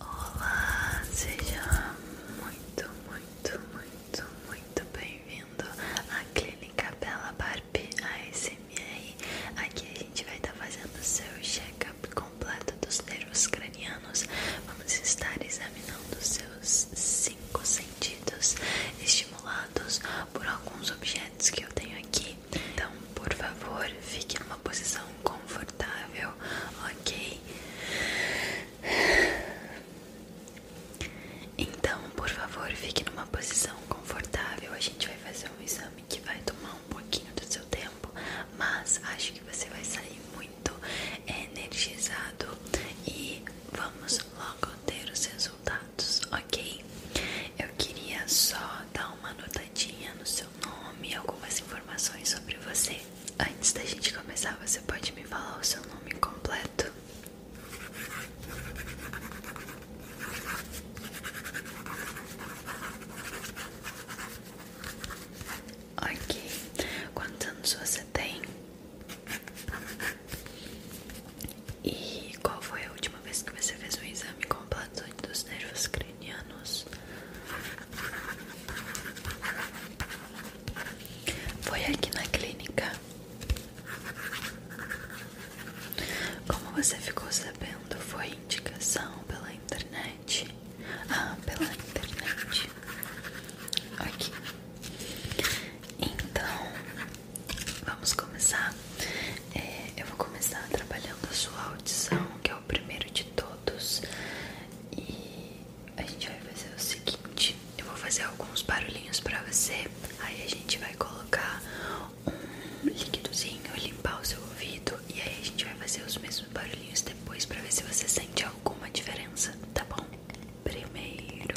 Olá, seja muito, muito, muito, muito bem-vindo à Clínica Bela Barbie ASMR. Aqui a gente vai estar tá fazendo o seu check-up completo dos nervos cranianos. Vamos estar examinando seus cinco sentidos estimulados por alguns objetos que eu tenho aqui. Então, por favor, fique em uma posição confortável, ok? Então, por favor, fique numa posição confortável. A gente vai fazer um exame que vai tomar um pouquinho do seu tempo, mas acho que você vai sair muito energizado e vamos logo ter os resultados, ok? Eu queria só dar uma notadinha no seu nome e algumas informações sobre você. Antes da gente começar, você pode me falar o seu nome completo? Ok. Quantos anos você tem? E qual foi a última vez que você fez um exame completo dos nervos cranianos? Foi aqui na clínica. Como você ficou sabendo, foi indicação pela internet. Ah, pela internet. Aqui. Então, vamos começar. É, eu vou começar trabalhando a sua audição, que é o primeiro de todos e a gente vai fazer o seguinte: eu vou fazer alguns barulhinhos pra você, aí a gente vai colocar um líquidozinho, limpar o seu ouvido e aí a gente vai fazer os mesmos barulhinhos depois pra ver se você sente alguma diferença, tá bom? Primeiro.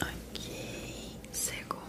Ok, segundo.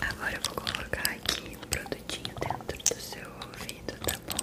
Agora eu vou colocar aqui um produtinho dentro do seu ouvido, tá bom?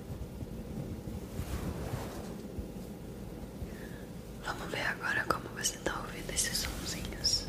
Vamos ver agora como você está ouvindo esses sonzinhos.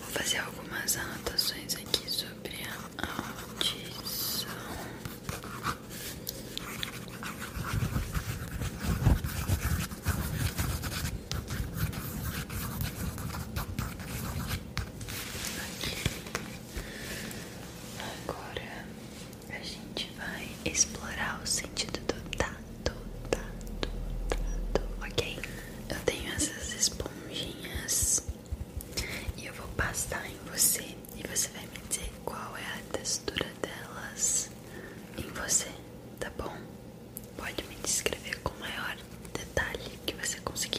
Vou fazer algumas anotações aqui sobre a audição. Agora a gente vai explorar o sentido do tato, tá, tato, tá, tato, tá, ok? Eu tenho essas esponjinhas e eu vou passar em você e você vai me dizer qual é a textura delas em você, tá bom? Pode me descrever com maior detalhe que você conseguir.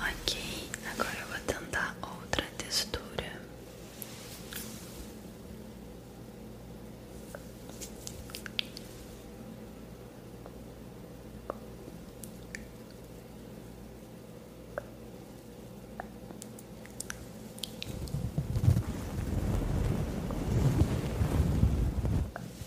Ok, agora eu vou tentar outra textura.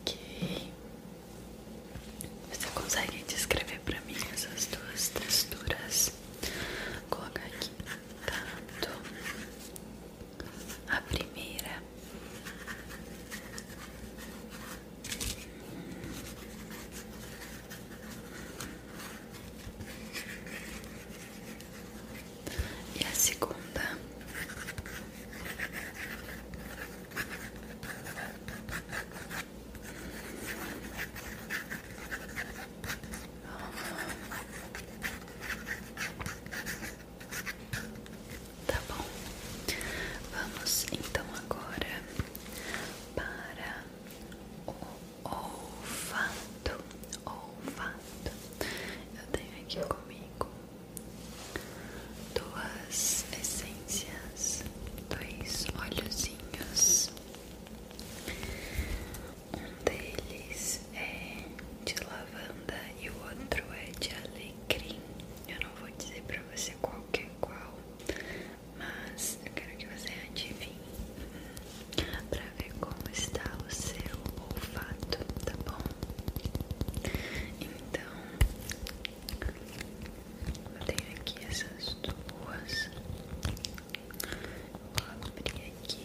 Ok. Você consegue descrever para mim essas duas texturas? colocar aqui tanto tá? a primeira e a segunda Tá bom, vamos então agora para o olfato, olfato. Eu tenho aqui comigo duas essências, dois olhozinhos. Um deles é de lavanda e o outro é de alecrim. Eu não vou dizer pra você qual que é qual, mas eu quero que você adivinhe para ver como está o seu olfato, tá bom? Então, eu tenho aqui essas duas. Vou abrir aqui.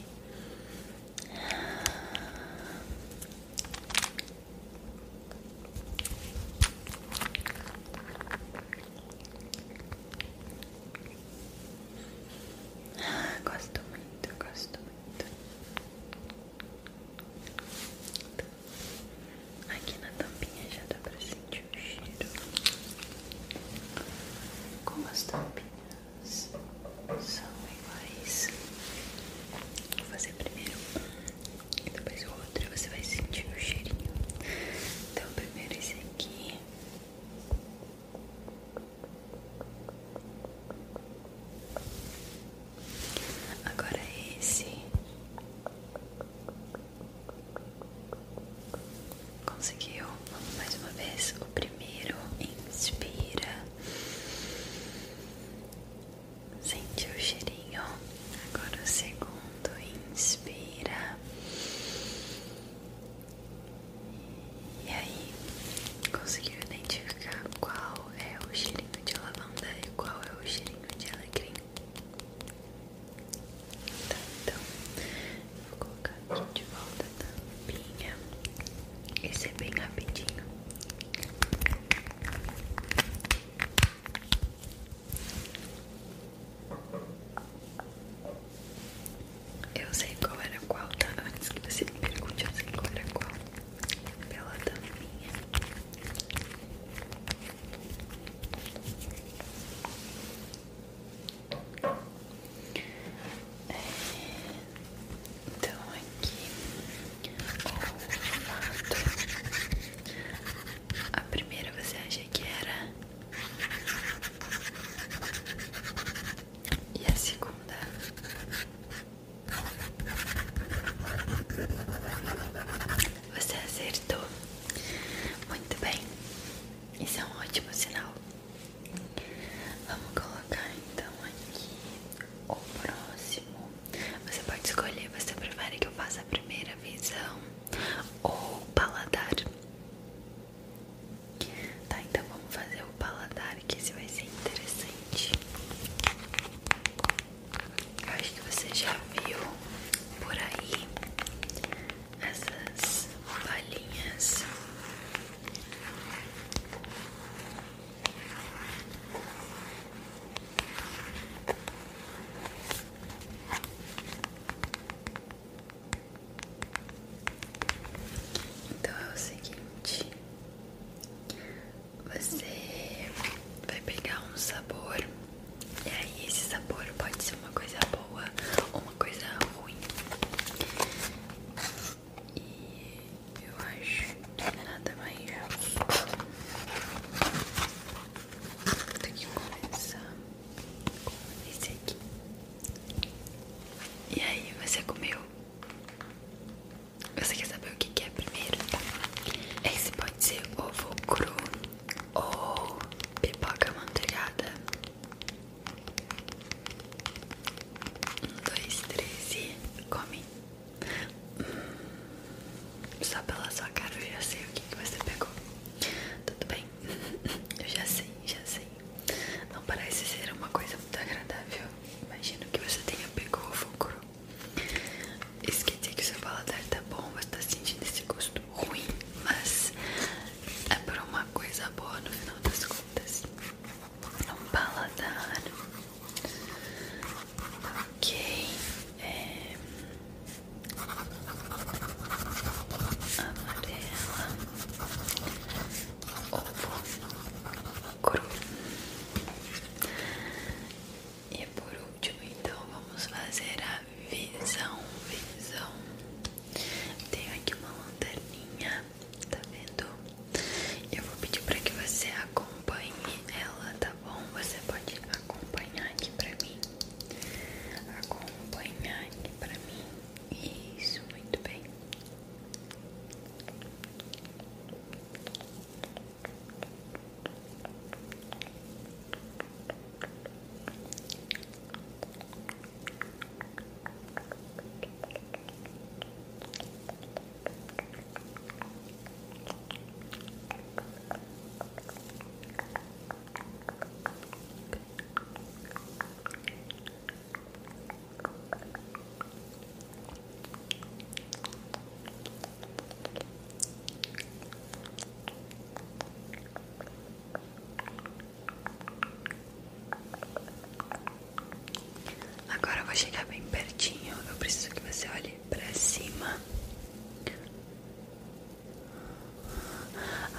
Ah, gosto muito, gosto muito. Aqui na tampinha já dá pra sentir o cheiro. Como as tampinhas são iguais, vou fazer primeiro um e depois o outro. E você vai sentir o cheirinho. Então, primeiro esse aqui. Agora é esse conseguiu. mais uma vez. O primeiro inspira. Sentiu o cheirinho. Agora o segundo inspira. E aí, conseguiu identificar qual é o cheirinho de lavanda e qual é o cheirinho de alecrim? Tá, então, vou colocar aqui de volta a tampinha. Esse é bem rapidinho. Eu sei qual era qual, tá? Antes que você me pergunte, eu sei qual era qual. Pela tampinha. É, então, aqui o formato. A primeira você acha que era e a segunda Você acertou Muito bem Isso é um ótimo sinal Vamos colocar então aqui O próximo Você pode escolher Você prefere que eu faça a primeira visão Ou paladar Tá, então vamos fazer o paladar que esse vai ser interessante. acho que você já viu por aí essas balinhas. Então é o seguinte: você vai pegar um sabor, e aí esse sabor pode ser uma coisa boa ou uma coisa ruim. E eu acho que é nada mais. Tem que começar esse aqui. E aí, você comeu? Você quer saber o que, que é primeiro? Tá. Esse pode ser ovo cru ou pipoca manteigada. Um, dois, três e come. Hum, só pela sua cara eu já sei o que, que você pegou. Tudo bem? Eu já sei, já sei. Não parece ser uma coisa muito agradável. Imagino que você tenha pegou o fulcro. Esqueci que o seu paladar tá bom, você tá sentindo esse gosto ruim, mas é por uma coisa boa no final das contas. Um paladar. Ok. É amarela, ovo cru. E por último, então, vamos fazer a visão, visão. Tenho aqui uma lanterninha, tá vendo? Eu vou pedir para que você acompanhe ela, tá bom? Você pode acompanhar aqui pra mim acompanhar aqui pra mim. Isso, muito bem. Agora vou chegar bem pertinho. Eu preciso que você olhe para cima.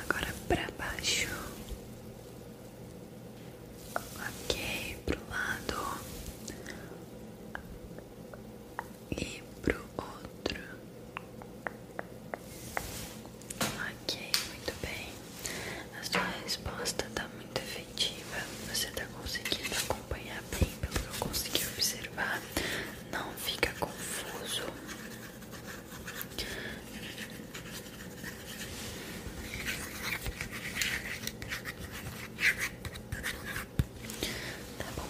Agora para baixo. Ok, pro lado e pro outro. Ok, muito bem. A sua resposta tá muito efetiva. Você tá conseguindo acompanhar bem pelo que eu consegui observar. Não fica confuso. Tá bom.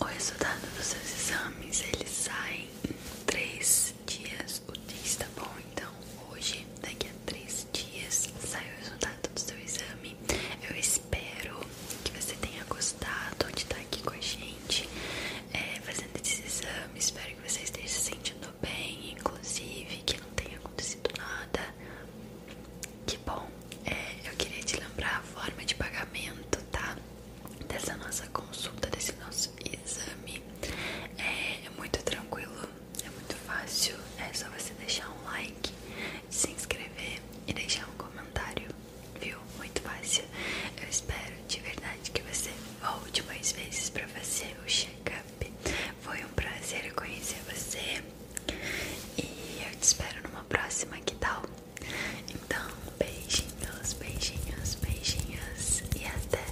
O resultado dos seus exames ele sai em três dias o dia está bom? Então hoje, daqui a três dias, sai o resultado do seu exame. Espero que você tenha gostado de estar aqui com a gente é, fazendo esse exame Espero que você esteja se sentindo bem, inclusive que não tenha acontecido nada. Que bom, é, eu queria te lembrar a forma de pagamento, tá? Dessa nossa consulta, desse nosso exame. é, é muito tranquilo, é muito fácil, é só você deixar um like de se inscrever e deixar um comentário, viu? Muito fácil. Eu espero de verdade que você volte mais vezes para fazer o check-up. Foi um prazer conhecer você e eu te espero numa próxima, que tal? Então, beijinhos, beijinhos, beijinhos e até!